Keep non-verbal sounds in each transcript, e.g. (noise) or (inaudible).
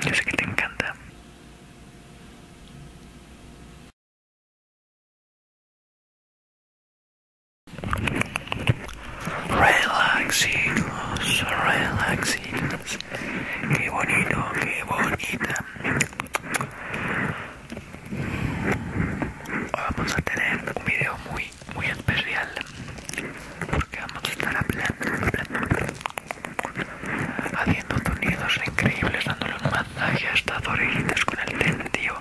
Yo sé que te encanta. Relaxitos, relaxitos. Qué bonito, qué bonita. Vamos a tener un video muy, muy especial porque vamos a estar hablando, hablando, haciendo sonidos increíbles, dándole un masaje a estas orejitas con el sentido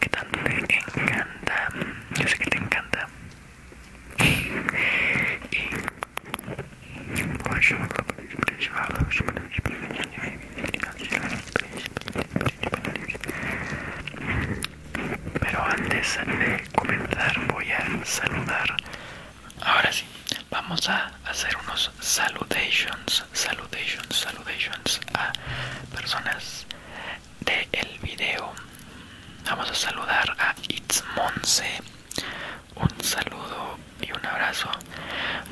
que tanto te encanta. Yo sé que te encanta. Pues pero antes de comenzar voy a saludar ahora sí vamos a hacer unos salutations, salutations, salutations a personas del video. Vamos a saludar a It's Un saludo y un abrazo.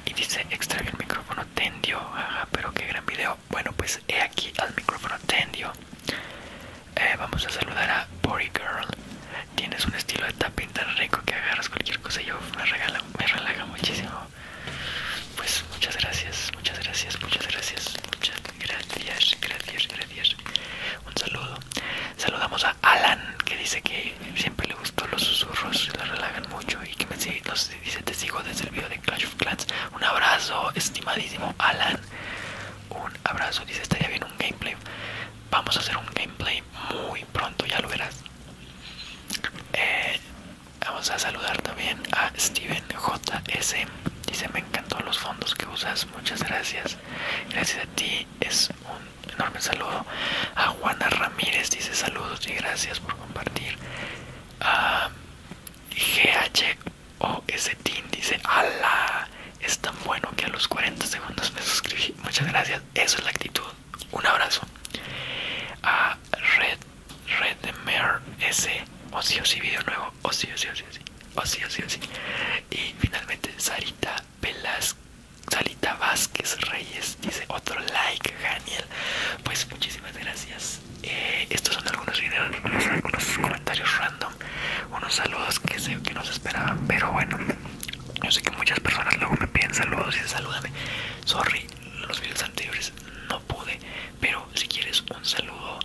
Y dice, extrae el micrófono tendio. Ajá, pero qué gran video. Bueno, pues he aquí al micrófono tendio. Eh, vamos a saludar a Body Girl. Tienes un estilo de tapping tan rico que agarras cualquier cosa y yo me, regala, me relaja muchísimo. Pues muchas gracias, muchas gracias, muchas gracias, muchas gracias, gracias, gracias. Un saludo. Saludamos a Alan que dice que siempre le gustó los susurros, le relajan mucho y que me dice te sigo desde el video de Clash of Clans. Un abrazo, estimadísimo Alan. Un abrazo, dice estaría bien un gameplay vamos a hacer un gameplay muy pronto ya lo verás eh, vamos a saludar también a Steven JS dice me encantó los fondos que usas muchas gracias gracias a ti es un enorme saludo a Juana Ramírez dice saludos y gracias por compartir a ah, G H o dice es tan bueno que a los 40 segundos me suscribí. Muchas gracias. Eso es la actitud. Un abrazo. A Red red S. O sí, o sí, video nuevo. O sí, o sí, o sí, sí. Y finalmente Sarita Velas, Sarita Vázquez Reyes dice otro like, Daniel. Pues muchísimas gracias. Eh, estos son algunos algunos comentarios random, unos saludos que sé que no se esperaban, pero bueno. Yo sé que muchas personas luego me piden saludos y salúdame. Sorry, los videos anteriores no pude. Pero si quieres un saludo,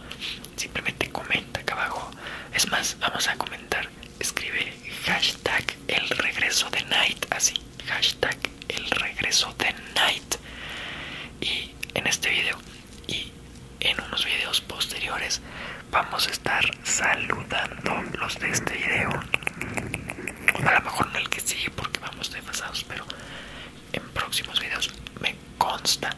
simplemente comenta acá abajo. Es más, vamos a comentar. Escribe hashtag el regreso de night. Así, hashtag el regreso de night. Y en este video y en unos videos posteriores vamos a estar saludando los de este video. a lo mejor no el que sigue porque vamos desfasados, pero en próximos videos me consta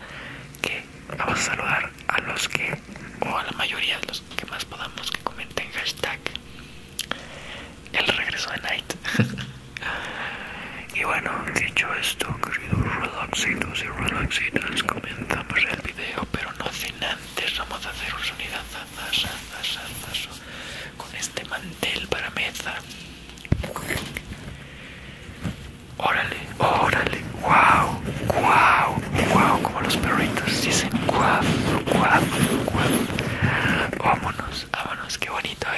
que vamos a saludar a los que, o a la mayoría de los que más podamos, que comenten hashtag el regreso de Night. (laughs) y bueno, dicho esto, queridos relaxitos y relaxitos comenzamos el video, pero no sé antes Vamos a hacer un sonido con este mantel para mesa. Órale, órale, guau, guau, guau, como los perritos dicen guau, guau, guau. Vámonos, vámonos, qué bonito. A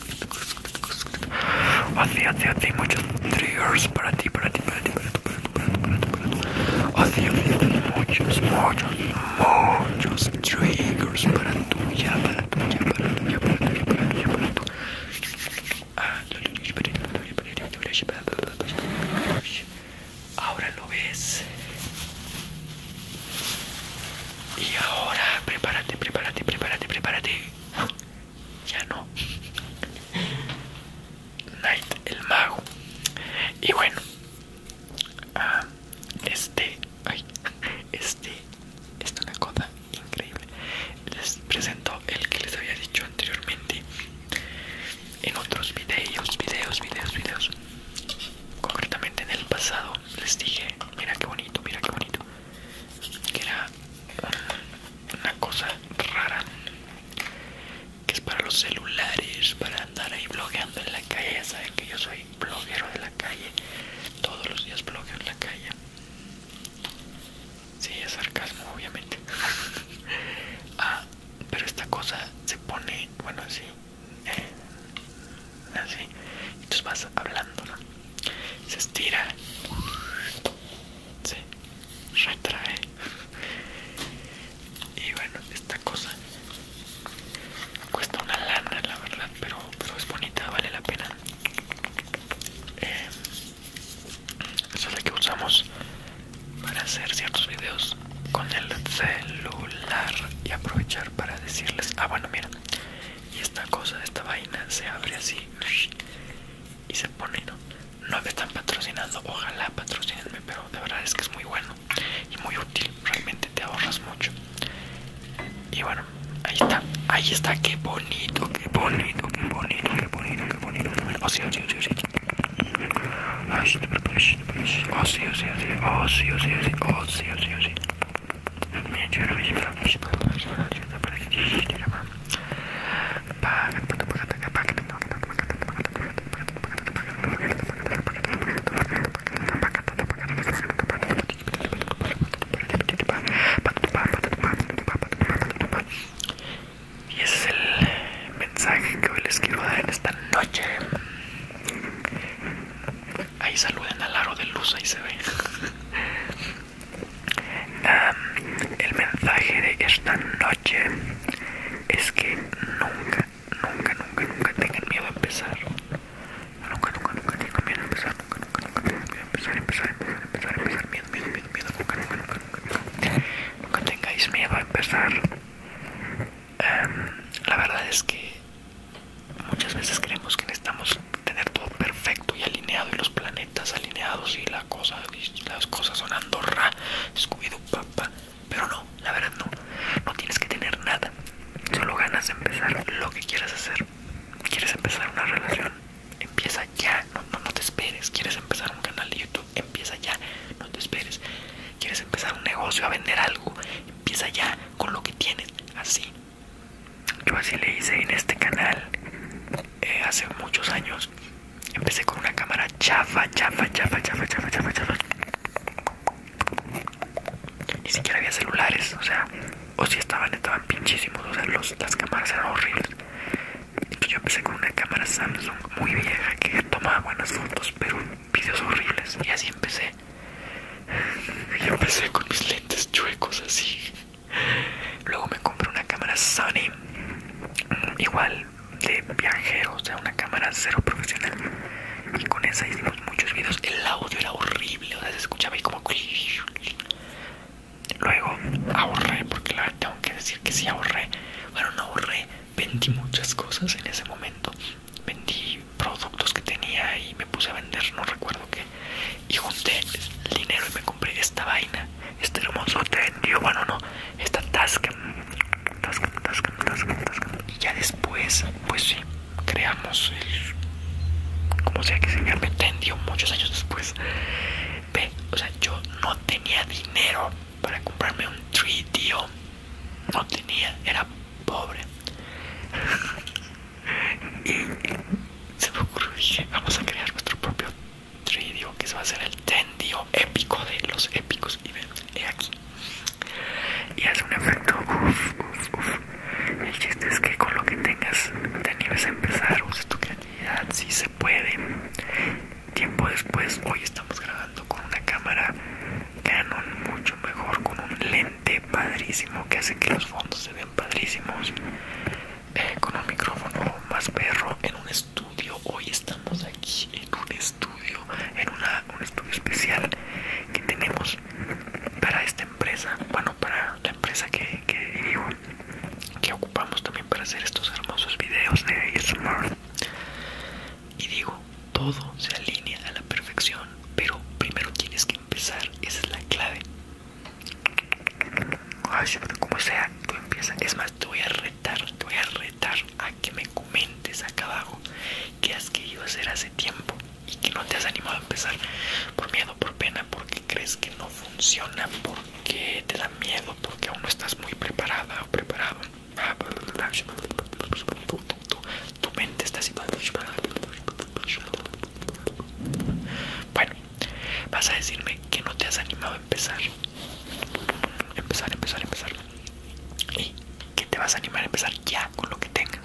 muchos triggers para ti, para ti, para ti, para ti, para ti, para ti, para ti, para ti. muchos, para para para para para Ahora lo ves. Y ahora prepárate, prepárate, prepárate, prepárate ya no. Night el mago. Y bueno, ah, este, ay, este, esta una cosa increíble. Les presento el que les había dicho anteriormente en otros videos, videos, videos, videos. Concretamente en el pasado les dije, mira qué bonito, mira qué bonito que era una cosa rara que es para los celulares, para andar ahí blogueando en la calle. Ya saben que yo soy bloguero de la calle, todos los días blogueo en la calle. Sí, es sarcasmo, obviamente. (laughs) ah, pero esta cosa se pone, bueno, así, eh, así, entonces vas hablando, se estira, se retrae y bueno esta cosa cuesta una lana la verdad pero pero es bonita vale la pena eh, es la que usamos para hacer ciertos videos con el celular y aprovechar para decirles ah bueno mira y esta cosa esta vaina se abre así y se pone, ¿no? me están patrocinando, ojalá patrocinenme, pero de verdad es que es muy bueno y muy útil, realmente te ahorras mucho. Y bueno, ahí está, ahí está, qué bonito, qué bonito, qué bonito, qué bonito, qué bonito. sí, sí, sí, sí. oh sí, sí, sí, oh sí, sí, sí. Y es el mensaje que les quiero dar esta noche. Ahí saluden al aro de luz, ahí se ve el mensaje de esta noche es que nunca, nunca, nunca, nunca tengan miedo a empezar. Nunca, nunca, nunca miedo a empezar. Nunca, nunca, nunca empezar, Nunca, nunca, nunca, tengáis miedo a empezar. Em, la verdad es que muchas veces creemos que necesitamos tener todo perfecto Estoy alineado y los planetas alineados y la cosa las cosas son Andorra, Scooby-Doo, papá. Pero no, la verdad no. No tienes que tener nada. Solo ganas de empezar lo que quieras hacer. ¿Quieres empezar una relación? Empieza ya. no, no te esperes. ¿Quieres empezar un canal de YouTube? Empieza ya. No te esperes. ¿Quieres empezar un negocio a vender algo? Empieza ya con lo que tienes. Así. Yo así le hice en este canal eh, hace muchos años. Empecé con una cámara chafa, chafa, chafa, chafa, chafa, chafa, chafa. Ni siquiera había celulares, o sea, o si estaban, estaban pinchísimos, o sea, las cámaras eran horribles. Pues yo empecé con una cámara Samsung muy vieja que tomaba buenas fotos, pero vídeos horribles. Y así empecé. (laughs) Y empecé con mis lentes chuecos así. Luego me compré una cámara Sony, igual de viajero, o sea, una cámara cero profesional. Y con esa hicimos muchos videos. El audio era horrible, o sea, se escuchaba y como. Luego ahorré, porque la, verdad tengo que decir que sí ahorré. Bueno, no ahorré, vendí muchas cosas en ese momento. Vendí productos que tenía y me puse a vender, no recuerdo qué y junté el dinero y me compré esta vaina, este hermoso tendio, bueno, no, esta tasca, tasca, Y ya después, pues sí, creamos el, como sea que se Me tendió muchos años después. Ve, o sea, yo no tenía dinero para comprarme un 3 No tenía, era pobre y se me ocurrió vamos a crear nuestro propio tridio que se va a ser el tendio épico de los épicos y ven aquí y hace un efecto uff uff uff el chiste es que con lo que tengas te animes empezar usa tu creatividad si se puede tiempo después hoy estamos grabando con una cámara Canon mucho mejor con un lente padrísimo que hace que los fondos se vean padrísimos con un micrófono más perro en un estudio. Hoy estamos aquí en un estudio, en un estudio especial que tenemos para esta empresa, bueno, para la empresa que, que que ocupamos también para hacer estos hermosos videos de E-Smart. Y digo, todo se alinea a la perfección, pero primero tienes que empezar, esa es la clave como sea, tú empiezas. Es más, te voy a retar, te voy a retar a que me comentes acá abajo qué has querido hacer hace tiempo y que no te has animado a empezar por miedo, por pena, porque crees que no funciona, porque te da miedo, porque aún no estás muy preparada o preparado. Tu mente está así. Bueno, Vas a decirme que no te has animado a empezar. Empezar, empezar, empezar. Y que te vas a animar a empezar ya con lo que tengas.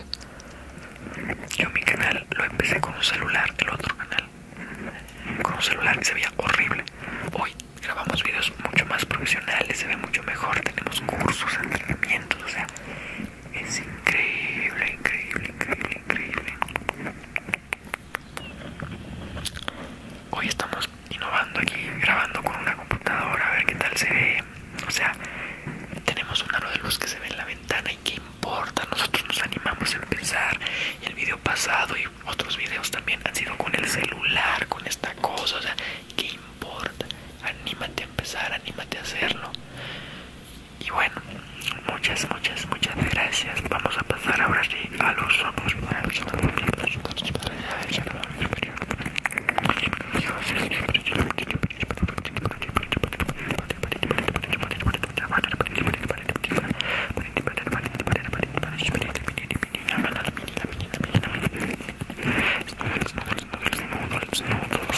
Yo mi canal lo empecé con un celular, el otro canal. Con un celular que se veía horrible. Hoy grabamos videos mucho más profesionales, se ve mucho mejor, tenemos cursos, entrenamientos, o sea, es increíble, increíble, increíble, increíble. Hoy estamos innovando aquí, grabando con una computadora, a ver qué tal se ve. O sea, tenemos un aro de luz que se ve en la ventana y qué importa. Nosotros nos animamos a empezar. el video pasado y otros videos también han sido con el celular, con esta cosa. O sea, qué importa. Anímate a empezar, anímate a hacerlo. y bueno muchas muchas muchas gracias vamos a pasar ahora a los somos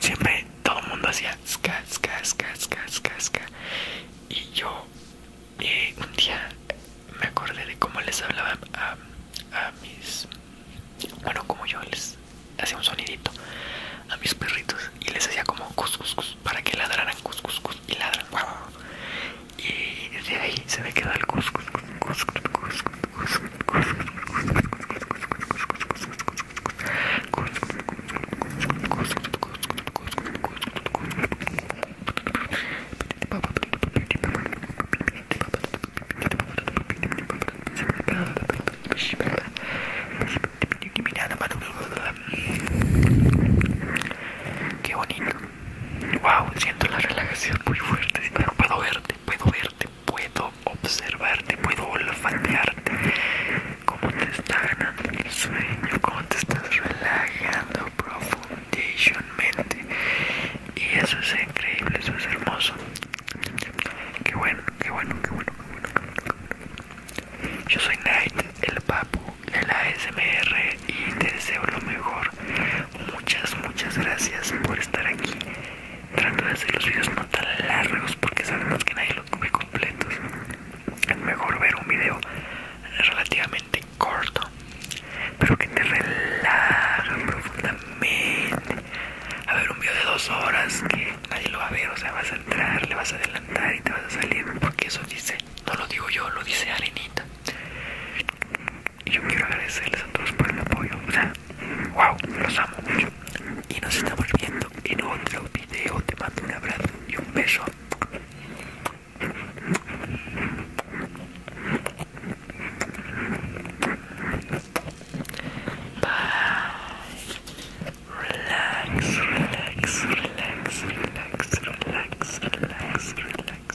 Siempre todo el mundo hacía ska, ska, ska, ska, Y yo eh, un día me acordé de cómo les hablaba a, mis. Bueno, como yo les hacía un sonidito a mis perritos y les hacía como para que ladraran y ladran. y de ahí se me quedó el cuscus cuscus cuscus cuscus cuscus Qué bonito Wow, siento la relajación muy fuerte. Puedo verte, puedo verte, puedo observarte, puedo olfatearte. Cómo te está ganando el sueño, cómo te estás relajando profundamente Y eso es increíble, eso es hermoso. Qué bueno, qué bueno, qué bueno, qué bueno, qué bueno. Yo soy Knight, el papu, el la SMR y te deseo lo mejor. Muchas, muchas gracias por estar aquí. Trato de hacer los videos no tan largos porque sabemos que nadie los come completos. Es mejor ver un video relativamente corto, pero que te relaja profundamente. A ver un video de dos horas que nadie lo va a ver, o sea, vas a entrar, le vas a adelantar y te vas a salir porque eso dice, no lo digo yo, lo dice Arenita. Y yo quiero agradecerles a todos por el apoyo. O sea, wow, los amo mucho. Y nos estamos viendo en otro video. Te mando un abrazo y un beso. Bye. Relax, relax, relax, relax, relax, relax, relax.